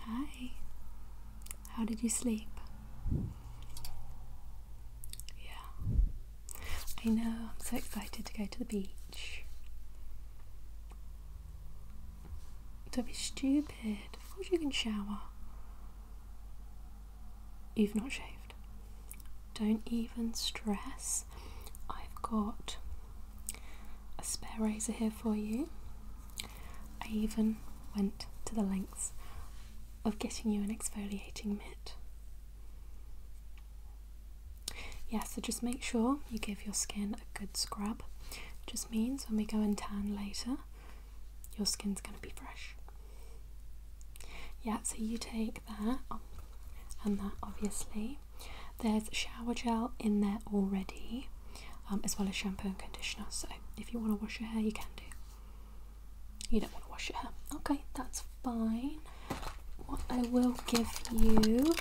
Hi. How did you sleep? Yeah. I know, I'm so excited to go to the beach. Don't be stupid. Of course you can shower. You've not shaved. Don't even stress. I've got a spare razor here for you. I even went to the lengths of getting you an exfoliating mitt. Yeah, so just make sure you give your skin a good scrub. just means when we go and tan later, your skin's going to be fresh. Yeah, so you take that and that obviously. There's shower gel in there already, um, as well as shampoo and conditioner. So if you want to wash your hair, you can do. You don't want to wash your hair. Okay, that's fine. What I will give you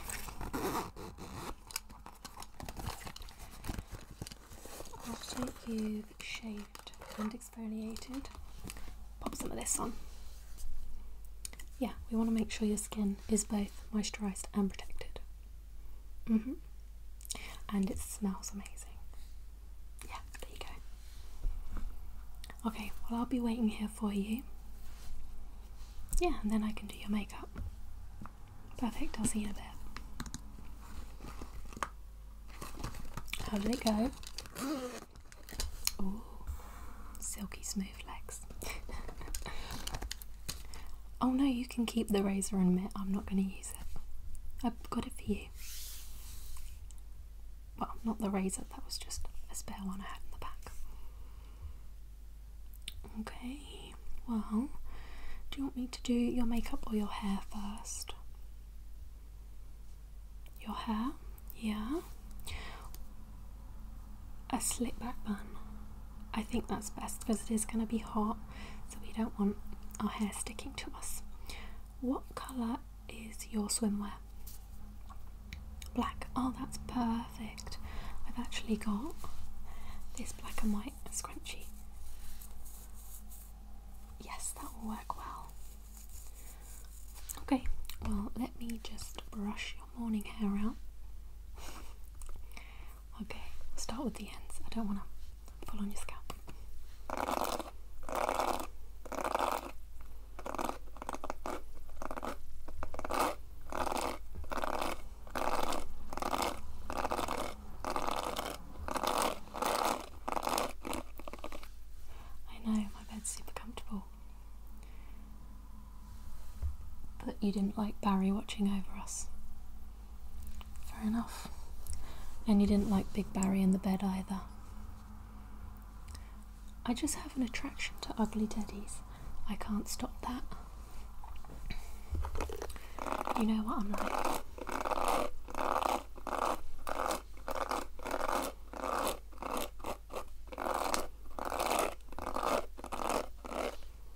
after you've shaved and exfoliated, pop some of this on. Yeah, we want to make sure your skin is both moisturised and protected. Mm hmm And it smells amazing. Yeah, there you go. Okay, well, I'll be waiting here for you. Yeah, and then I can do your makeup. Perfect, I'll see you in a bit. How did it go? Ooh, silky smooth legs. Oh no, you can keep the razor and mitt. I'm not going to use it. I've got it for you. Well, not the razor, that was just a spare one I had in the back. Okay, well, do you want me to do your makeup or your hair first? Your hair? Yeah. A slip back bun. I think that's best because it is going to be hot, so we don't want our hair sticking to us. What colour is your swimwear? Black. Oh, that's perfect. I've actually got this black and white scrunchie. Yes, that will work well. Okay, well, let me just brush your morning hair out. Okay, we'll start with the ends. I don't want to pull on your scalp. I know my bed's super comfortable. But you didn't like Barry watching over us. Fair enough. And you didn't like Big Barry in the bed either. I just have an attraction to ugly daddies. I can't stop that. You know what I'm like.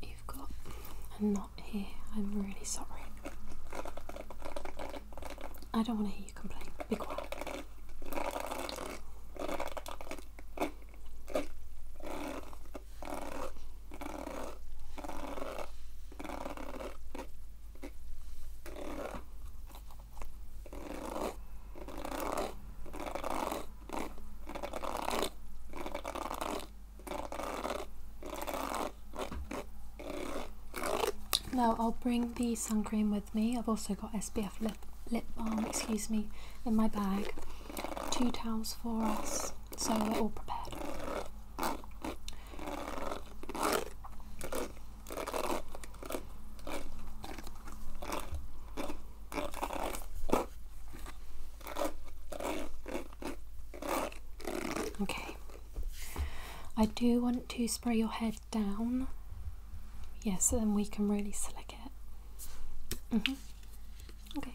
You've got a knot here. I'm really sorry. I don't want to hear you complain. Be quiet. Now I'll bring the sun cream with me. I've also got SBF lip, lip balm, excuse me, in my bag. Two towels for us, so we're all prepared. Okay, I do want to spray your head down, yes, so then we can really slick it. Mm -hmm. Okay.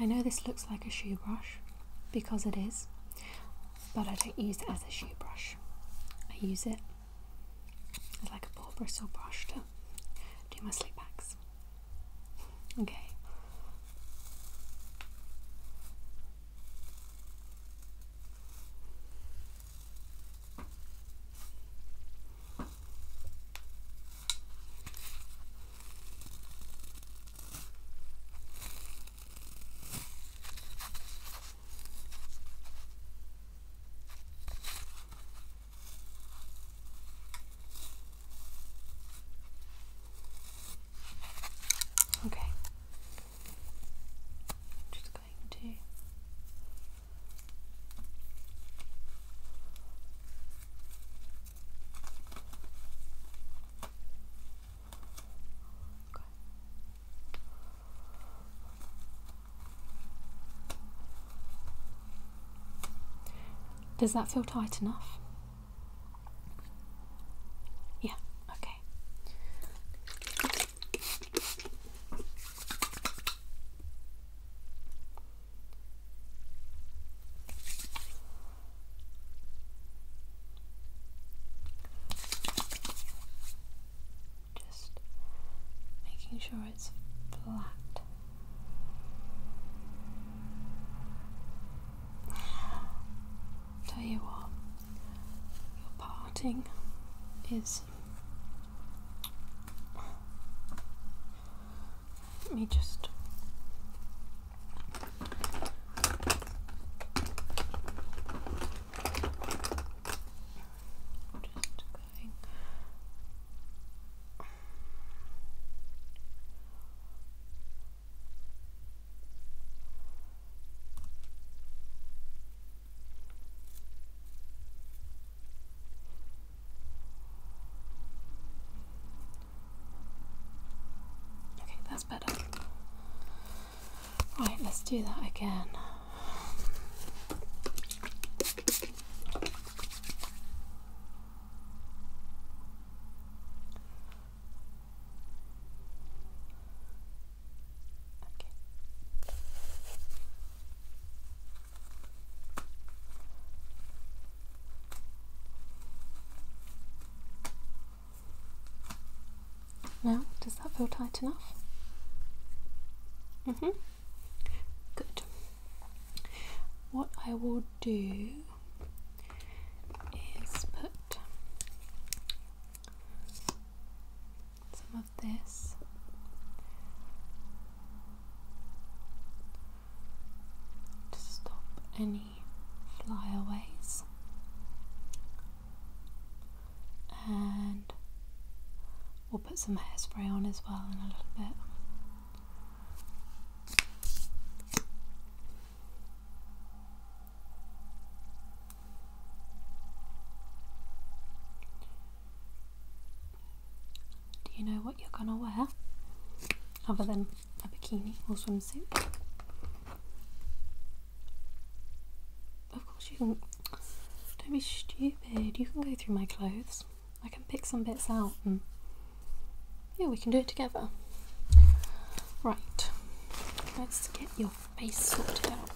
I know this looks like a shoe brush because it is, but I don't use it as a shoe brush. I use it like a paw bristle brush do my sleep bags. Okay. Okay. I'm just going to Okay. Does that feel tight enough? Yeah, okay. Just making sure it's flat Tell you what, your parting is. Let me just i Okay, that's better. Right, let's do that again. Now, does that feel tight enough? Mm hmm. Good. What I will do is put some of this to stop any flyaways and put some hairspray on as well in a little bit. Do you know what you're gonna wear? Other than a bikini or swimsuit? Of course, you can. Don't be stupid, you can go through my clothes. I can pick some bits out and yeah, we can do it together. Right, let's get your face sorted out.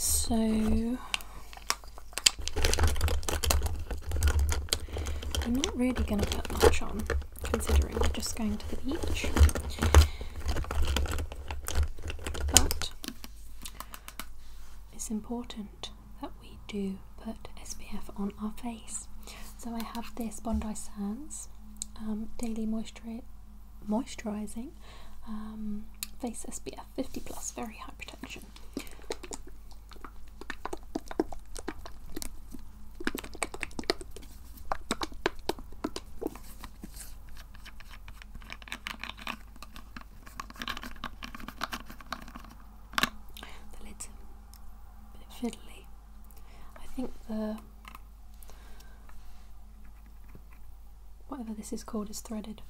So, I'm not really going to put much on considering we're just going to the beach. But it's important that we do put SPF on our face. So I have this Bondi Sands um, Daily Moisturising um, Face SPF 50 Plus, very high protection. The lid's bit fiddly. I think the whatever this is called is threaded.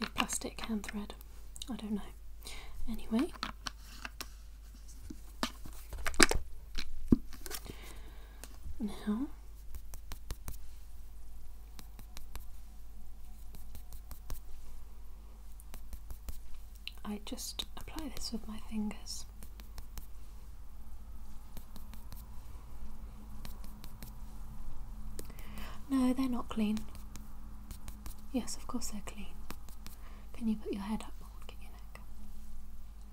If plastic hand thread, I don't know. Anyway, now. I just apply this with my fingers. No, they're not clean. Yes, of course they're clean. Can you put your head up Get your neck.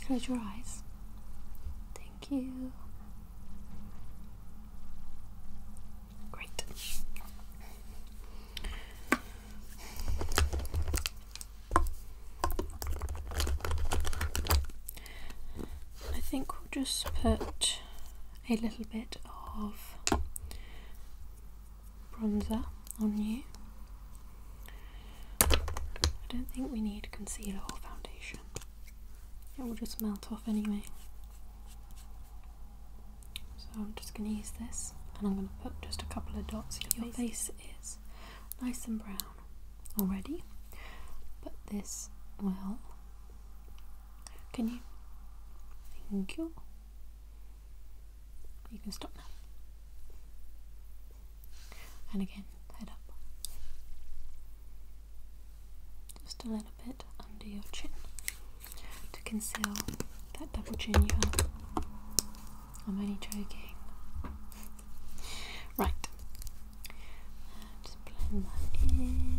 Can you close your eyes? Thank you. Great. I think we'll just put a little bit of bronzer on you. I don't think we need concealer or foundation. It will just melt off anyway. So I'm just going to use this and I'm going to put just a couple of dots. Your, Your face. is nice and brown already, but this well, Can you? Thank you. You can stop now. And again, head up. Just a little bit under your chin to conceal that double chin you have. I'm only joking. right. Just blend that in.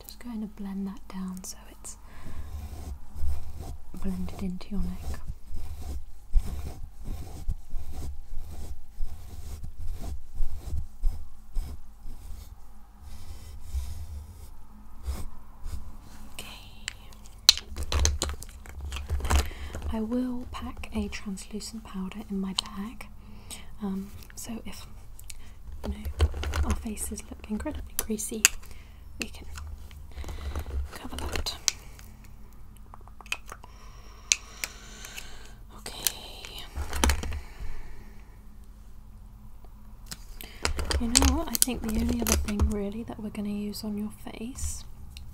Just going to blend that down so it's blended into your neck. Okay. I will pack a translucent powder in my bag um, so if our faces look incredibly greasy, we can cover that. Okay. You know what? I think the only other thing really that we're going to use on your face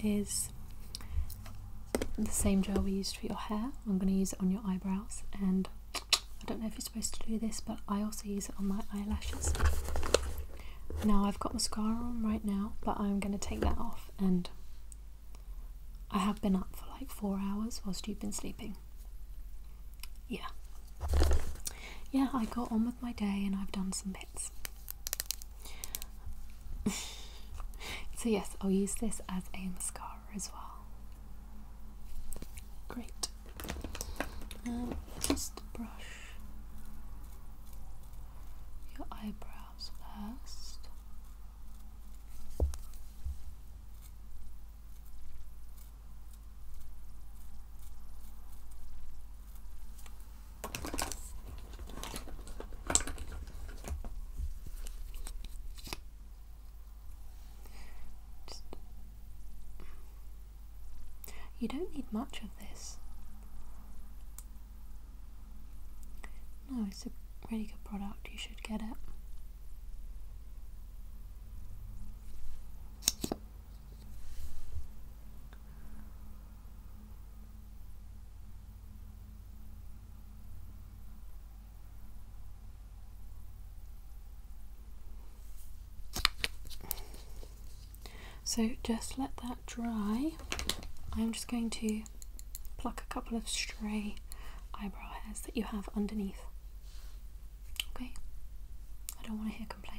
is the same gel we used for your hair. I'm going to use it on your eyebrows and I don't know if you're supposed to do this but I also use it on my eyelashes. Now I've got mascara on right now but I'm going to take that off and I have been up for like four hours whilst you've been sleeping. Yeah. Yeah, I got on with my day and I've done some bits. so, yes, I'll use this as a mascara as well. Great. Um, just brush your eyebrows first you don't need much of this. No, it's a really good product, you should get it. So just let that dry. I'm just going to pluck a couple of stray eyebrow hairs that you have underneath. Okay? I don't want to hear complaining.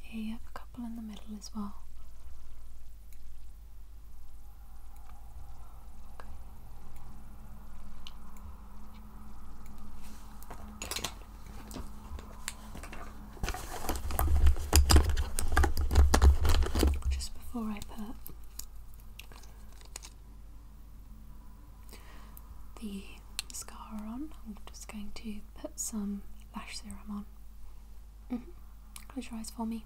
Here you have a couple in the middle as well. Just before I put the mascara on. I'm just going to put some lash serum on. Mm-hmm. Close your eyes for me.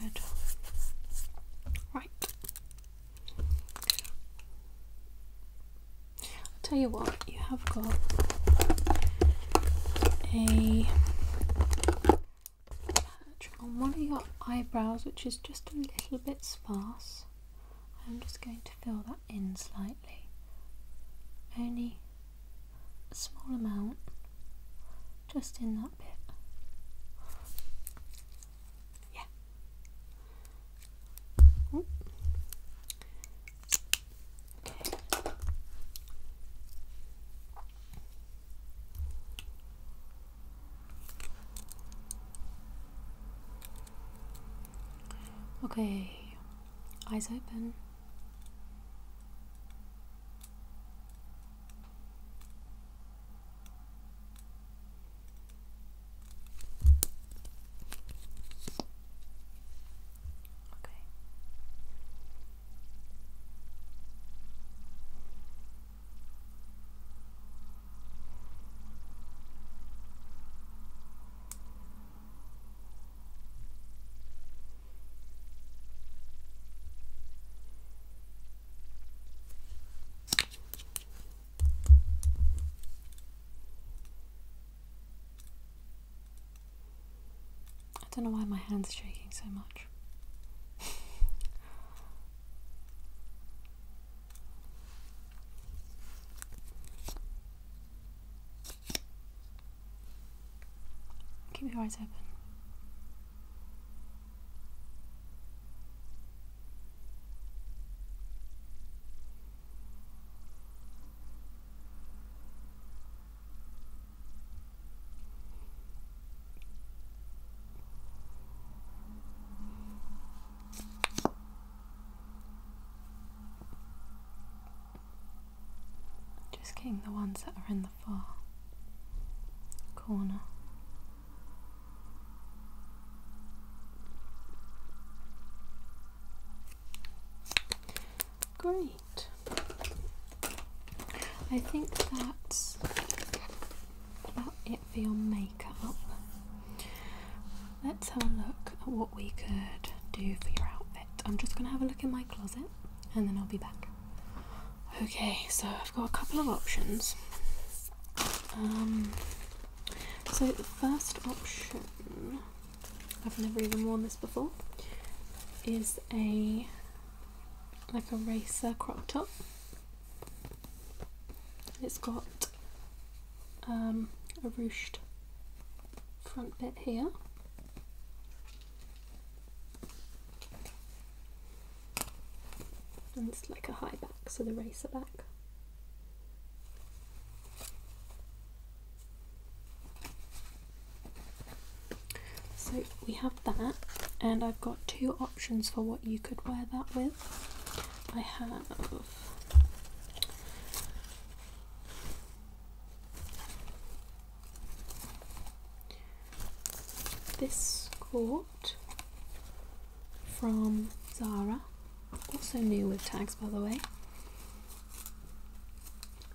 Good. Right. tell you what, you have got a patch on one of your eyebrows which is just a little bit sparse. I'm just going to fill that in slightly, only a small amount, just in that bit. Yeah. Okay, eyes open. Okay. I don't know why my hands are shaking so much. Keep your eyes open. Just getting the ones that are in the far corner. Great. I think that's about it for your makeup. Let's have a look at what we could do for your outfit. I'm just going to have a look in my closet and then I'll be back. Okay, so I've got a couple of options. Um, so the first option, I've never even worn this before, is a like a racer crop top. It's got um, a ruched front bit here. And it's like a high back, so the racer back. So we have that, and I've got two options for what you could wear that with. I have this skirt from Zara, also new with tags by the way.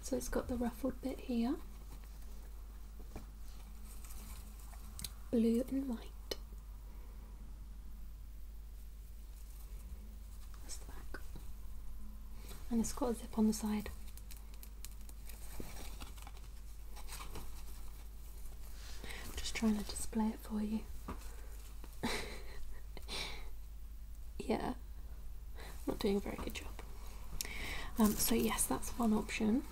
So it's got the ruffled bit here blue and white. That's the back. And it's got a zip on the side. just trying to display it for you. yeah, not doing a very good job. Um, so yes, that's one option.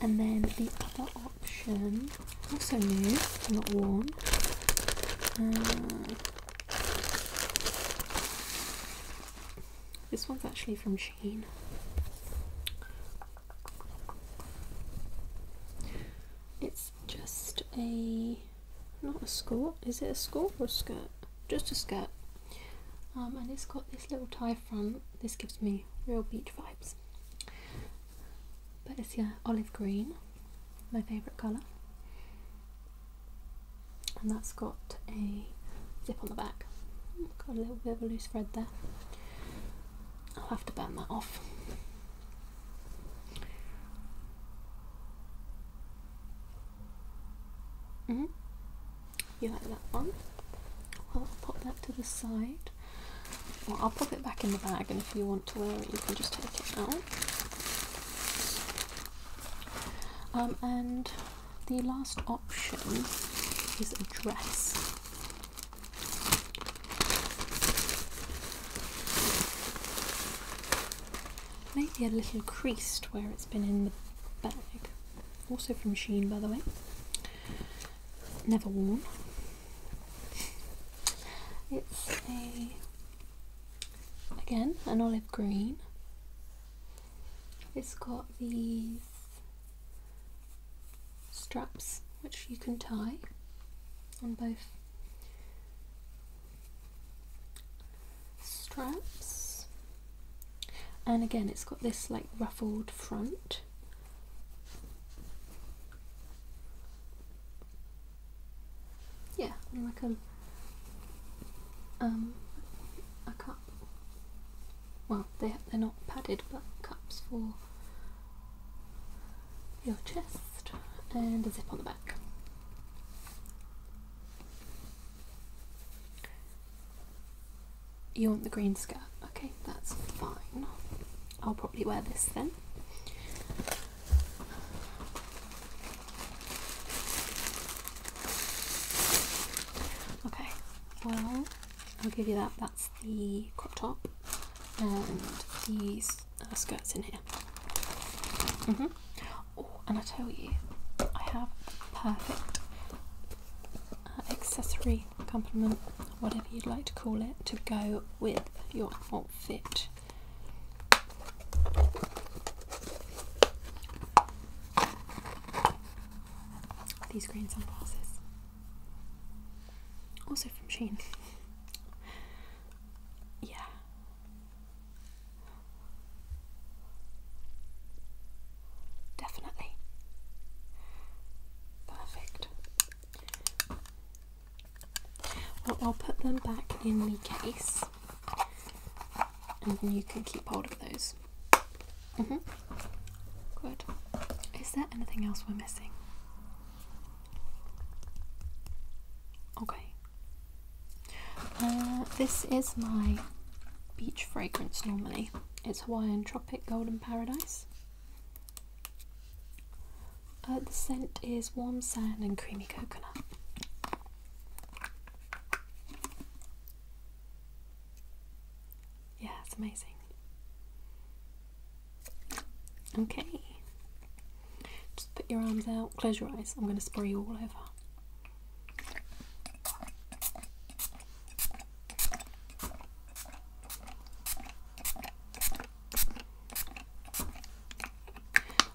And then the other option, also new, not worn. Uh, this one's actually from Shane. It's just a, not a skirt, is it a skirt or a skirt? Just a skirt. Um, and it's got this little tie front. This gives me real beach vibes. But it's yeah, olive green, my favourite colour. And that's got a zip on the back. Got a little bit of a loose thread there. I'll have to burn that off. Mm -hmm. You like that one? Well, I'll pop that to the side. I'll pop it back in the bag, and if you want to wear it, you can just take it out. Um, and the last option is a dress. Maybe a little creased where it's been in the bag. Also from Sheen, by the way never worn. It's a again an olive green. It's got these straps which you can tie on both straps and again it's got this like ruffled front yeah, like a um, um a cup. Well, they they're not padded, but cups for your chest and a zip on the back. You want the green skirt? Okay, that's fine. I'll probably wear this then. Okay, well, I'll give you that. That's the crop top and these uh, skirts in here. Mm hmm Oh, and I tell you, I have perfect uh, accessory accessory, whatever you'd like to call it, to go with your outfit. These green sunglasses, also from Sheen. yeah. Definitely. Perfect. I'll put them back in the case and then you can keep hold of those. hmm Good. Is there anything else we're missing? Okay. Uh, this is my beach fragrance normally. It's Hawaiian Golden Paradise. Uh, the scent is warm sand and creamy coconut. Yeah, it's amazing. Okay. Just put your arms out, close your eyes. I'm going to spray you all over.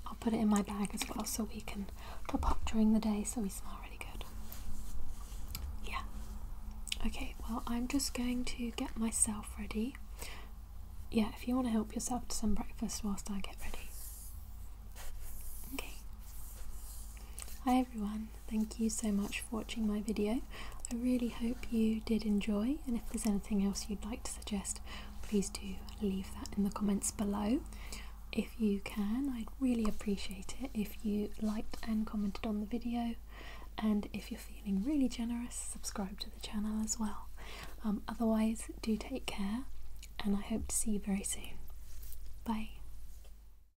I'll put it in my bag as well so we can pop up during the day so we smell really good. Yeah. Okay, well, I'm just going to get myself ready. Yeah, if you want to help yourself to some breakfast whilst I get ready. Okay. Hi, everyone. Thank you so much for watching my video. I really hope you did enjoy and if there's anything else you'd like to suggest please do leave that in the comments below. If you can, I'd really appreciate it if you liked and commented on the video and if you're feeling really generous subscribe to the channel as well. Um, otherwise do take care and I hope to see you very soon. Bye.